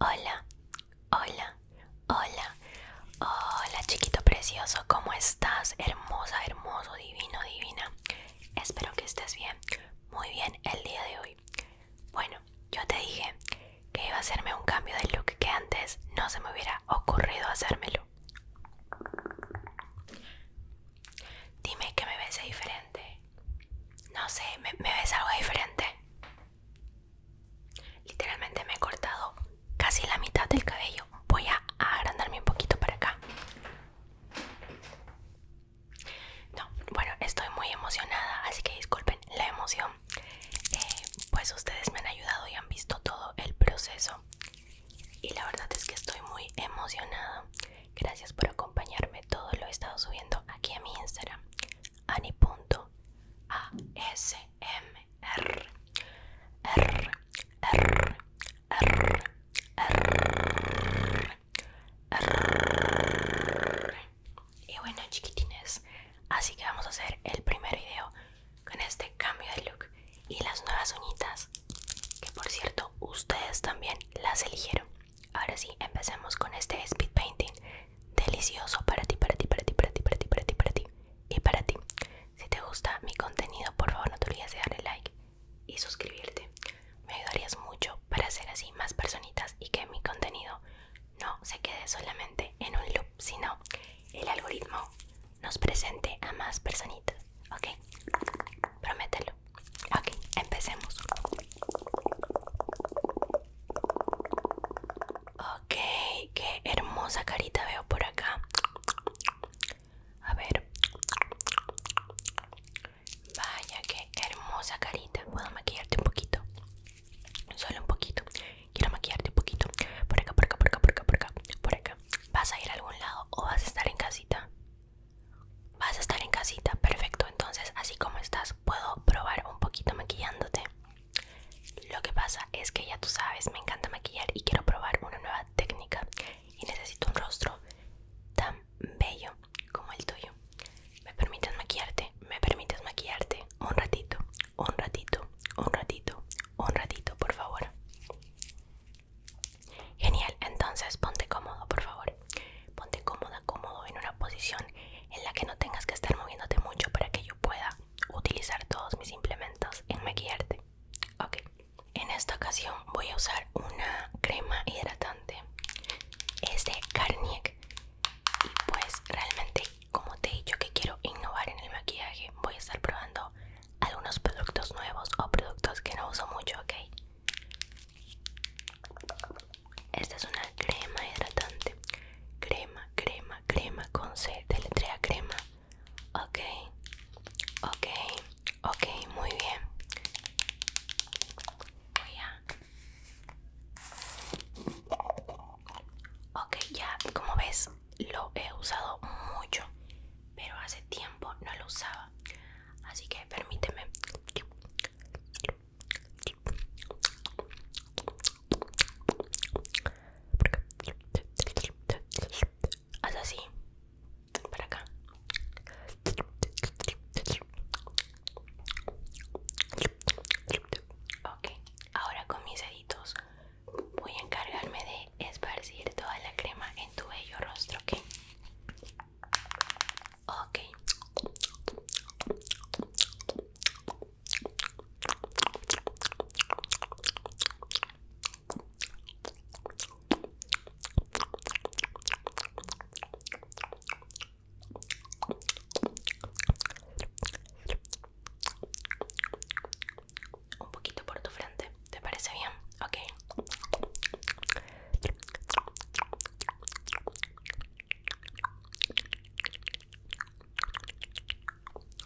Hola, hola, hola, hola chiquito precioso, ¿cómo estás? Hermosa, hermoso, divino, divina. Espero que estés bien muy bien el día de hoy. Bueno, yo te dije que iba a hacerme un cambio de look que antes no se me hubiera ocurrido hacérmelo. Dime que me ves diferente. No sé, me, ves algo diferente. Literalmente me he cortado casi la mitad del cabello. Voy a agrandarme un poquito para acá. No, bueno, estoy muy emocionada, así que disculpen la emoción. Eh, pues ustedes me han ayudado y han visto todo el proceso. Y la verdad es que estoy muy emocionada. Gracias por acompañarme. Todo lo he estado subiendo aquí a mi Instagram. Ani.asmr. R, y bueno chiquitines, así que vamos a hacer el primer video con este cambio de look y las nuevas uñitas, que por cierto ustedes también las eligieron. Ahora sí, empecemos con este speed painting delicioso para ti, para ti, para ti, para ti, para ti, para ti, para ti y para ti. Si te gusta mi contenido, por favor no te olvides de darle like y suscribirte. Me ayudarías mucho para hacer así más personitas y que mi contenido no se quede solamente en un loop, sino el algoritmo nos presente a más personitas. ¿Ok? Promételo. Ok, empecemos. Ok, qué hermosa carita veo por acá. A ver. Vaya, qué hermosa carita. Puedo maquillarte un poquito. Solo un poquito. Quiero maquillarte un poquito. Por acá, por acá, por acá, por acá, por acá. Por acá. ¿Vas a ir a algún lado o vas a estar en casita? Vas a estar en casita. Perfecto. Entonces, así como estás, puedo probar un poquito maquillándote. Lo que pasa es que ya tú sabes, me encanta maquillar y quiero probar una nueva técnica. Y necesito un rostro tan bello como el tuyo. ¿Me permites maquillarte? ¿Me permites maquillarte? Un ratito, un ratito, un ratito, un ratito, por favor. Genial, entonces ponte cómodo, por favor. Ponte cómoda, cómodo en una posición en la que no tengas que estar moviéndote mucho para que yo pueda utilizar todos mis implementos en maquillarte. Ok. En esta ocasión voy a usar una crema hidratante. Es de Garnier. Y pues realmente, como te he dicho que quiero innovar en el maquillaje, voy a estar probando algunos productos nuevos o productos que no uso mucho, ¿ok? Esta es una crema hidratante. Crema, crema, crema con C, letrea e, crema. Ok, ok, ok, muy bien. Voy a... Ok, ya como ves lo he usado mucho, pero hace tiempo no lo usaba. Así que permíteme. Haz así para acá ok ahora con mis deditos voy a encargarme de esparcir toda la crema en tu bello rostro ok ok un poquito por tu frente, ¿te parece bien? Ok.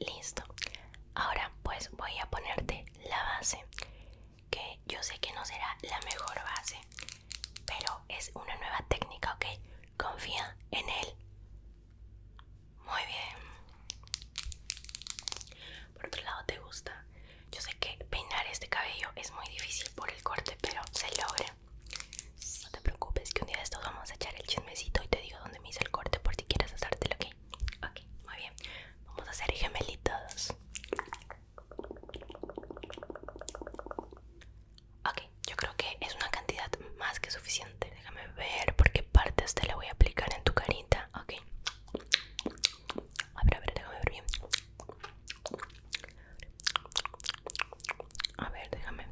Listo. Ahora pues voy a ponerte la base, que yo sé que no será la mejor base, pero es una nueva técnica, ¿ok? Confía en él. Muy bien. Por otro lado, ¿te gusta? Yo sé que peinar este cabello es muy difícil por el corte, pero se logra. No te preocupes que un día de estos vamos a echar el chismecito y te digo dónde me hice el corte por si quieres hacértelo, ¿ok? Ok, muy bien. Vamos a hacer gemelitos. Ok, yo creo que es una cantidad más que suficiente. Déjame ver por qué partes te la voy a aplicar en tu carita. Ok. A ver, a ver, déjame ver bien. A ver, déjame.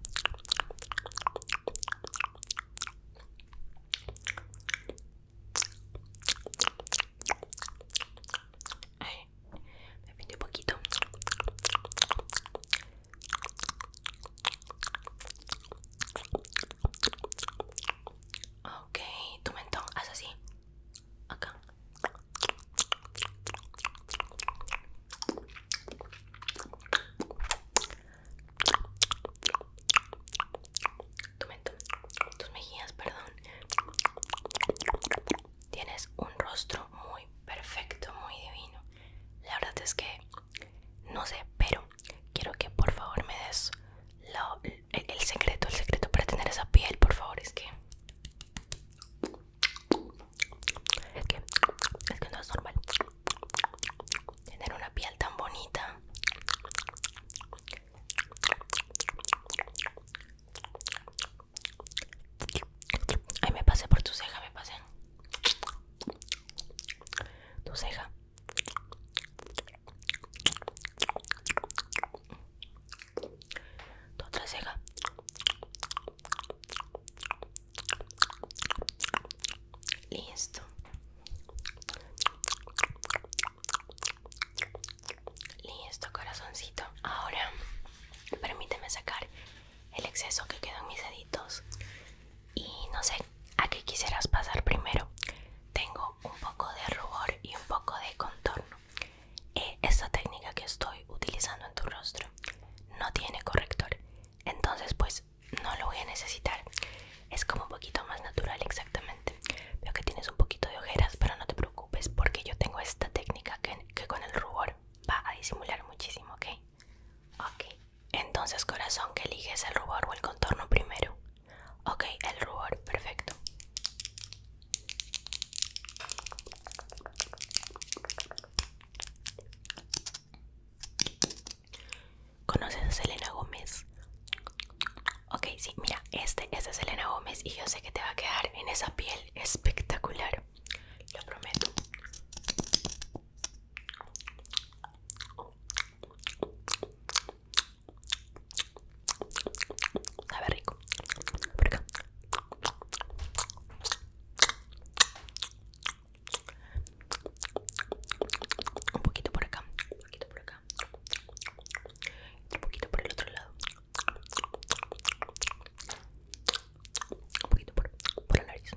Ay, me pinté un poquito. Ok, tu mentón, haz así. Acá. Tu tus mejillas, perdón. Tienes un rostro muy perfecto, muy divino. La verdad es que no sé, pero quiero que por favor me des el, el secreto, el secreto para tener esa piel, por favor, es que es que, es que no es normal tener una piel tan bonita. Ay, me pasé por tu ceja, me pasé. Tu ceja tu otra listo listo corazoncito ahora permíteme sacar el exceso que quedó en mis deditos y no sé a qué quisieras pasar primero tengo un poco de rubor y un poco de contorno y Esta técnica que estoy utilizando en tu rostro no tiene corrector, entonces pues no lo voy a necesitar. Es como un poquito más natural exactamente. Veo que tienes un poquito de ojeras, pero no te preocupes porque yo tengo esta técnica que, con el rubor va a disimular muchísimo, ¿ok? Ok. Entonces corazón, que eliges el rubor o el contorno primero. Ok, el rubor, perfecto. ¿Conoces a Selena Gómez? Ok, sí, mira, este, es es Selena Gómez y yo sé que te va a quedar en esa piel espectacular. Lo prometo. Sabe rico. Por acá. Un poquito por acá. Un poquito por acá. Un poquito por el otro lado. Un poquito por, por nariz.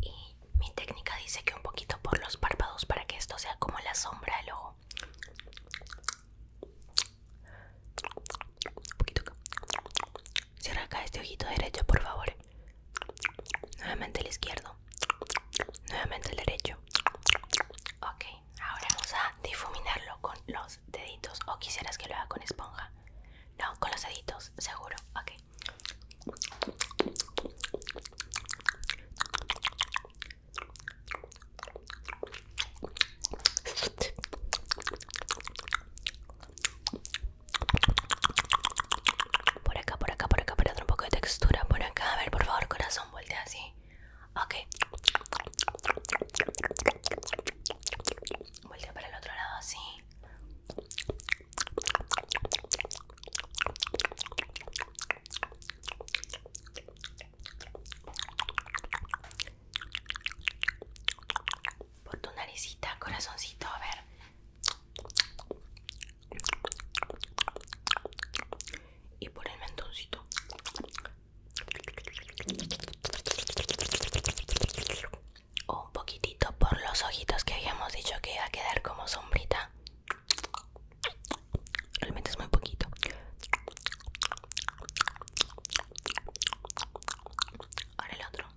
Y mi técnica dice que un poquito por los párpados para que esto sea como la sombra del ojo un poquito Cierra acá este ojito derecho, por favor. Nuevamente el izquierdo. Nuevamente el derecho. Ok, ahora vamos a difuminarlo con los deditos. ¿O quisieras que lo haga con esponja? No, con los deditos, seguro. Ok. Por acá, por acá, por acá, para otro un poco de textura. Por acá, a ver, por favor, corazón, voltea así. Ok. Voltea para el otro lado así. Por tu naricita, corazoncito, a ver. Y por el mentoncito. O un poquitito por los ojitos que habíamos dicho que iba a quedar como sombrita realmente es muy poquito ahora el otro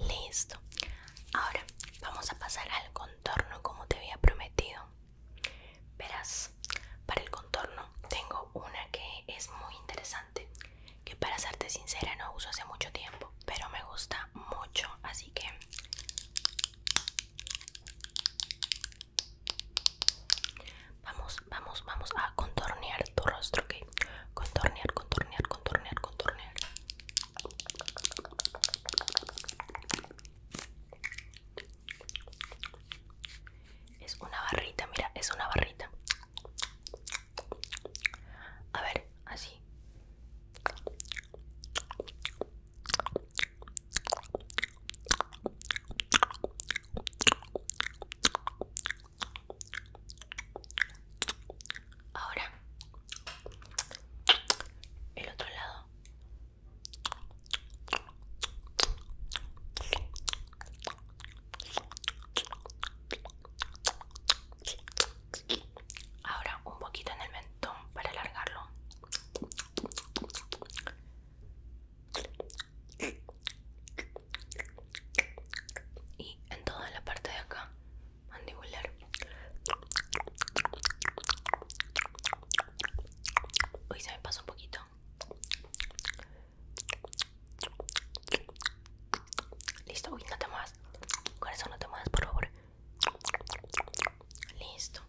Listo. Ahora vamos a pasar al contorno como te había prometido. Verás, para el contorno tengo una que es muy interesante, que para serte sincera no uso hace mucho tiempo, pero me gusta mucho, así que vamos vamos, vamos, a contornear tu rostro, ¿ok? Contornear, contornear, contornear, contornear. Es una barrita, mira, es una barrita. A ver, así. Ahora, el otro lado. Ahora un poquito en el mentón para alargarlo y en toda la parte de acá mandibular Uy, se me pasó un poquito listo uy no te muevas corazón no te muevas por favor listo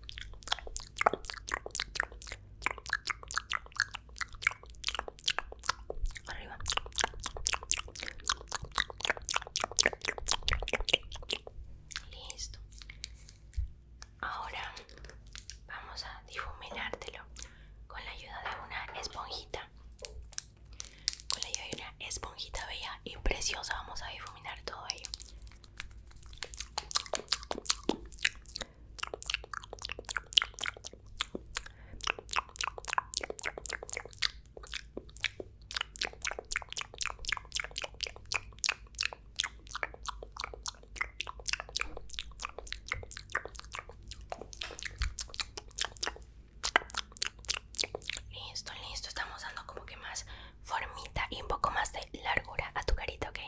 arriba listo ahora vamos a difuminártelo con la ayuda de una esponjita con la ayuda de una esponjita bella y preciosa vamos a difuminar todo ello Listo, listo, estamos dando como que más formita y un poco más de largura a tu carita, okay.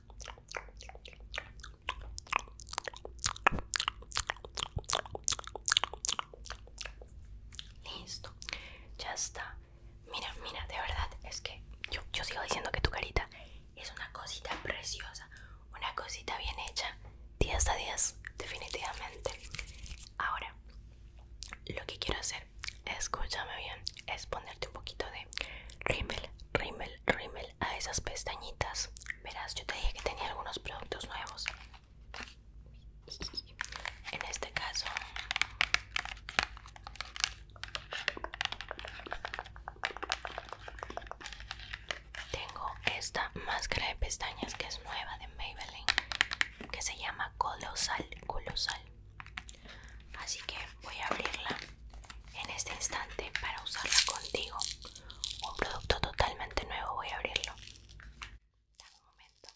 Listo, ya está. Mira, mira, de verdad es que yo, sigo diciendo que tu carita es una cosita preciosa, una cosita bien hecha, 10 a 10, definitivamente. Ahora, lo que quiero hacer, escúchame bien, es ponerte un poquito de Rimmel, Rimmel, rímel, a esas pestañitas. Verás, yo te dije que tenía algunos productos nuevos. En este caso, tengo esta máscara de pestañas que es nueva de Maybelline, que se llama Colosal, Colosal. Así que voy a abrirla en este instante para usarla contigo. Un producto totalmente nuevo, voy a abrirlo. un momento.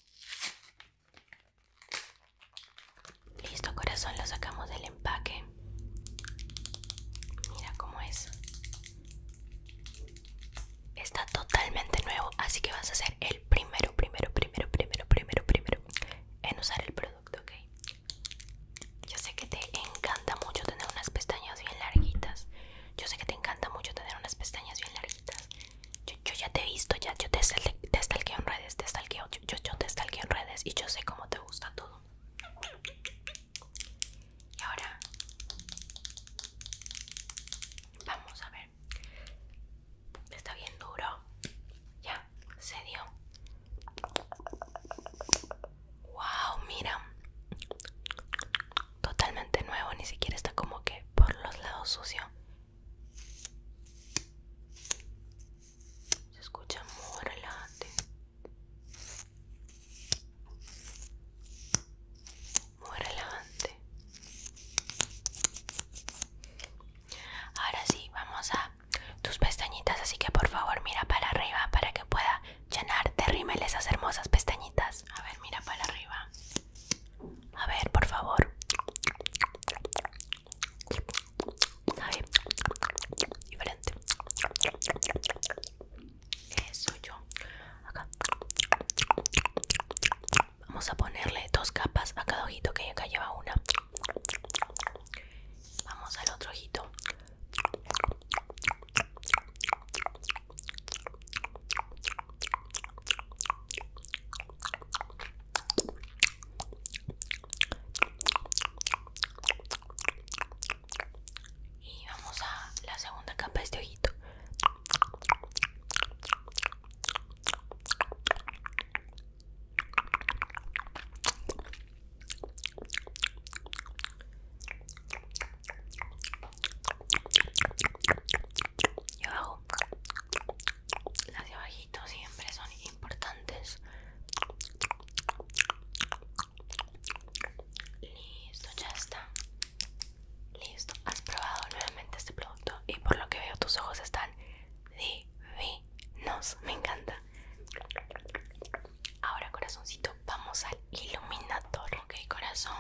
Listo, corazón, lo sacamos del empaque. Mira cómo es. Está totalmente nuevo, así que vas a ser el primero, primero, primero, primero, primero, primero en usar el producto, ¿ok? Yo sé que te encanta mucho tener unas pestañas bien larguitas. Yo sé que te encanta mucho tener unas pestañas bien larguitas. Yo, ya te he visto, ya, yo te, en redes, te yo, yo te stalkeo en redes y yo sé cómo te gusta todo. Y ahora vamos a ver. Está bien duro. Ya se dio. Wow, mira. Totalmente nuevo, ni siquiera está como que por los lados sucio. Se escucha muy relajante. Muy relajante. Ahora sí, vamos a tus pestañitas, así que por favor mira para arriba para que pueda llenar de rímel esas hermosas pestañitas. A ver, mira para arriba. A ver, por favor. Eso yo. Acá. Vamos a ponerle dos capas a cada ojito que acá lleva una. Vamos al otro ojito. Y vamos a la segunda capa de este ojito. Yo abajo las de abajito siempre son importantes. Listo, ya está. Listo, has probado nuevamente este producto y por lo que veo tus ojos están divinos nos, me encanta. Ahora, corazoncito, vamos al iluminador. Ok, corazón.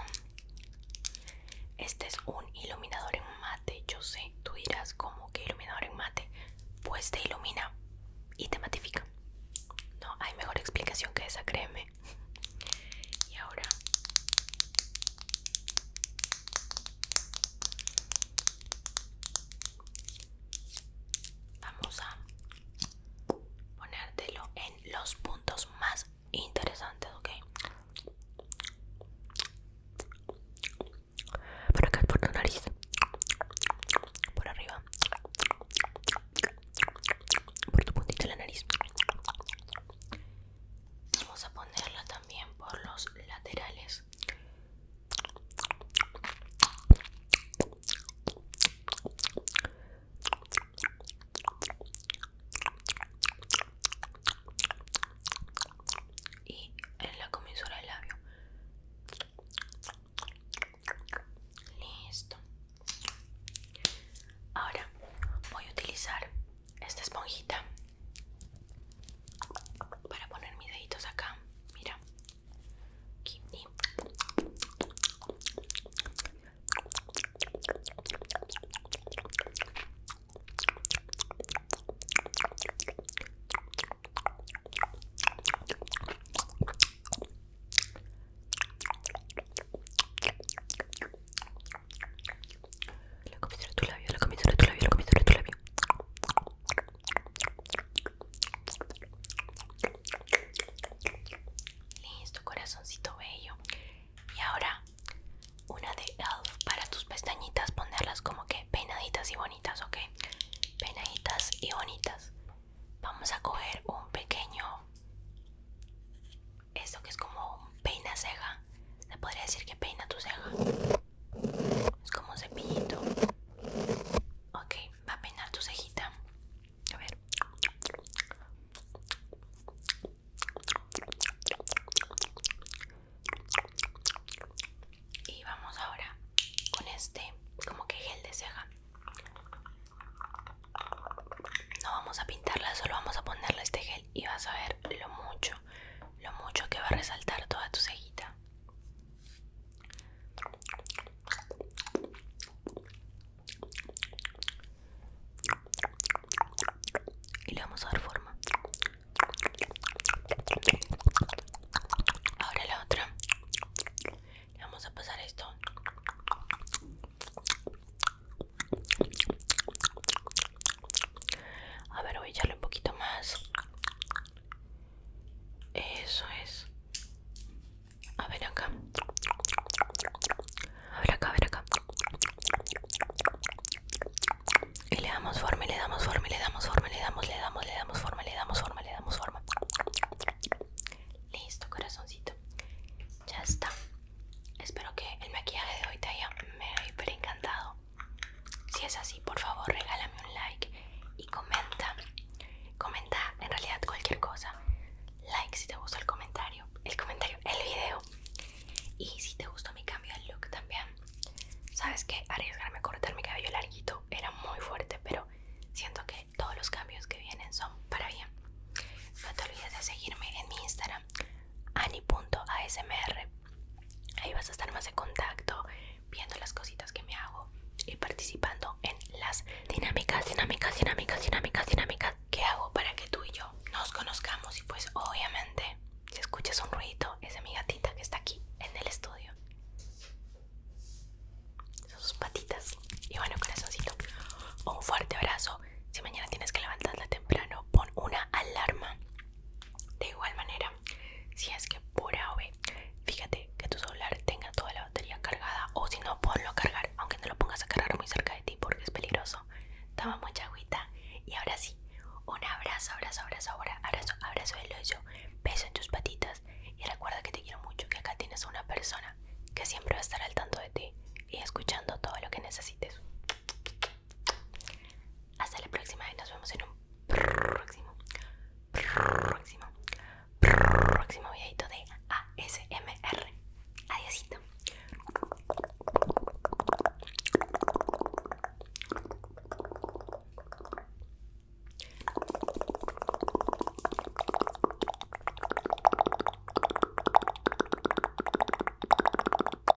Este es un iluminador en mate. Yo sé, tú dirás, como que iluminador en mate? Pues te ilumina y te matifica. No hay mejor explicación que esa, créeme. Y ahora. Vamos a ponértelo en los puntos más interesantes, ¿ok? Por acá, por tu nariz. Por arriba. Por tu puntita de la nariz. Vamos a ponerla también por los laterales y en la comisura del labio listo ahora voy a utilizar esta esponjita para poner mis deditos acá, mira, aquí La comisura de tu labio, la comisura de tu labio, la comisura de tu labio. Listo, corazoncito bello. Y ahora una de Elf para tus pestañitas, ponerlas como que peinaditas y bonitas, ¿ok? Peinaditas y bonitas. Vamos a coger un pequeño... Esto que es como un peina ceja. Se podría decir que peina tu ceja. Es como un cepillito. Ok, va a peinar tu cejita. A ver. Y vamos ahora con este, como que gel de ceja. No vamos a pintarla, solo vamos a ponerle este gel y vas a ver lo mucho lo mucho que va a resaltar toda tu cejita. Y le vamos a dar forma. Ahora la otra. Le vamos a pasar esto. A ver, voy a echarle un poquito más. Eso es. A ver acá. A ver acá, a ver acá. Y le damos forma, y le damos forma, y le damos forma, y le damos, le damos, le damos forma, le damos forma, le damos forma. Listo, corazoncito. Ya está. Espero que el maquillaje de hoy te haya me haya encantado. Si es así, por favor, regálame un like y comenta. Comenta en realidad cualquier cosa. Like si te gustó el comentario, el comentario, el video. Y si te gustó mi cambio de look también. Sabes que arriesgarme a cortar mi cabello larguito era muy fuerte, pero siento que todos los cambios que vienen son para bien. No te olvides de seguirme en mi Instagram, ani.asmr Ahí vas a estar más en contacto, viendo las cositas que me hago y participando en las dinámicas, dinámicas, dinámicas, dinámicas, dinámicas que hago para que tú y yo nos conozcamos. Y pues obviamente, si escuchas un ruido, es de mi gatita que está aquí en el estudio. Son sus patitas. Y bueno, corazoncito, un fuerte abrazo. Si mañana tienes que levantarla temprano, pon una alarma de igual manera, si es que pura A fíjate que tu celular tenga toda la batería cargada o si no, ponlo a cargar, aunque no lo pongas a cargar muy cerca de ti porque es peligroso. Toma mucha agüita y ahora sí, un abrazo, abrazo, abrazo, abrazo, abrazo de beso en tus patitas y recuerda que te quiero mucho, que acá tienes a una persona que siempre va a estar al tanto de ti y escuchando todo lo que necesites. Hasta la próxima y nos vemos en un próximo, próximo, próximo videito de ASMR. Adiósito.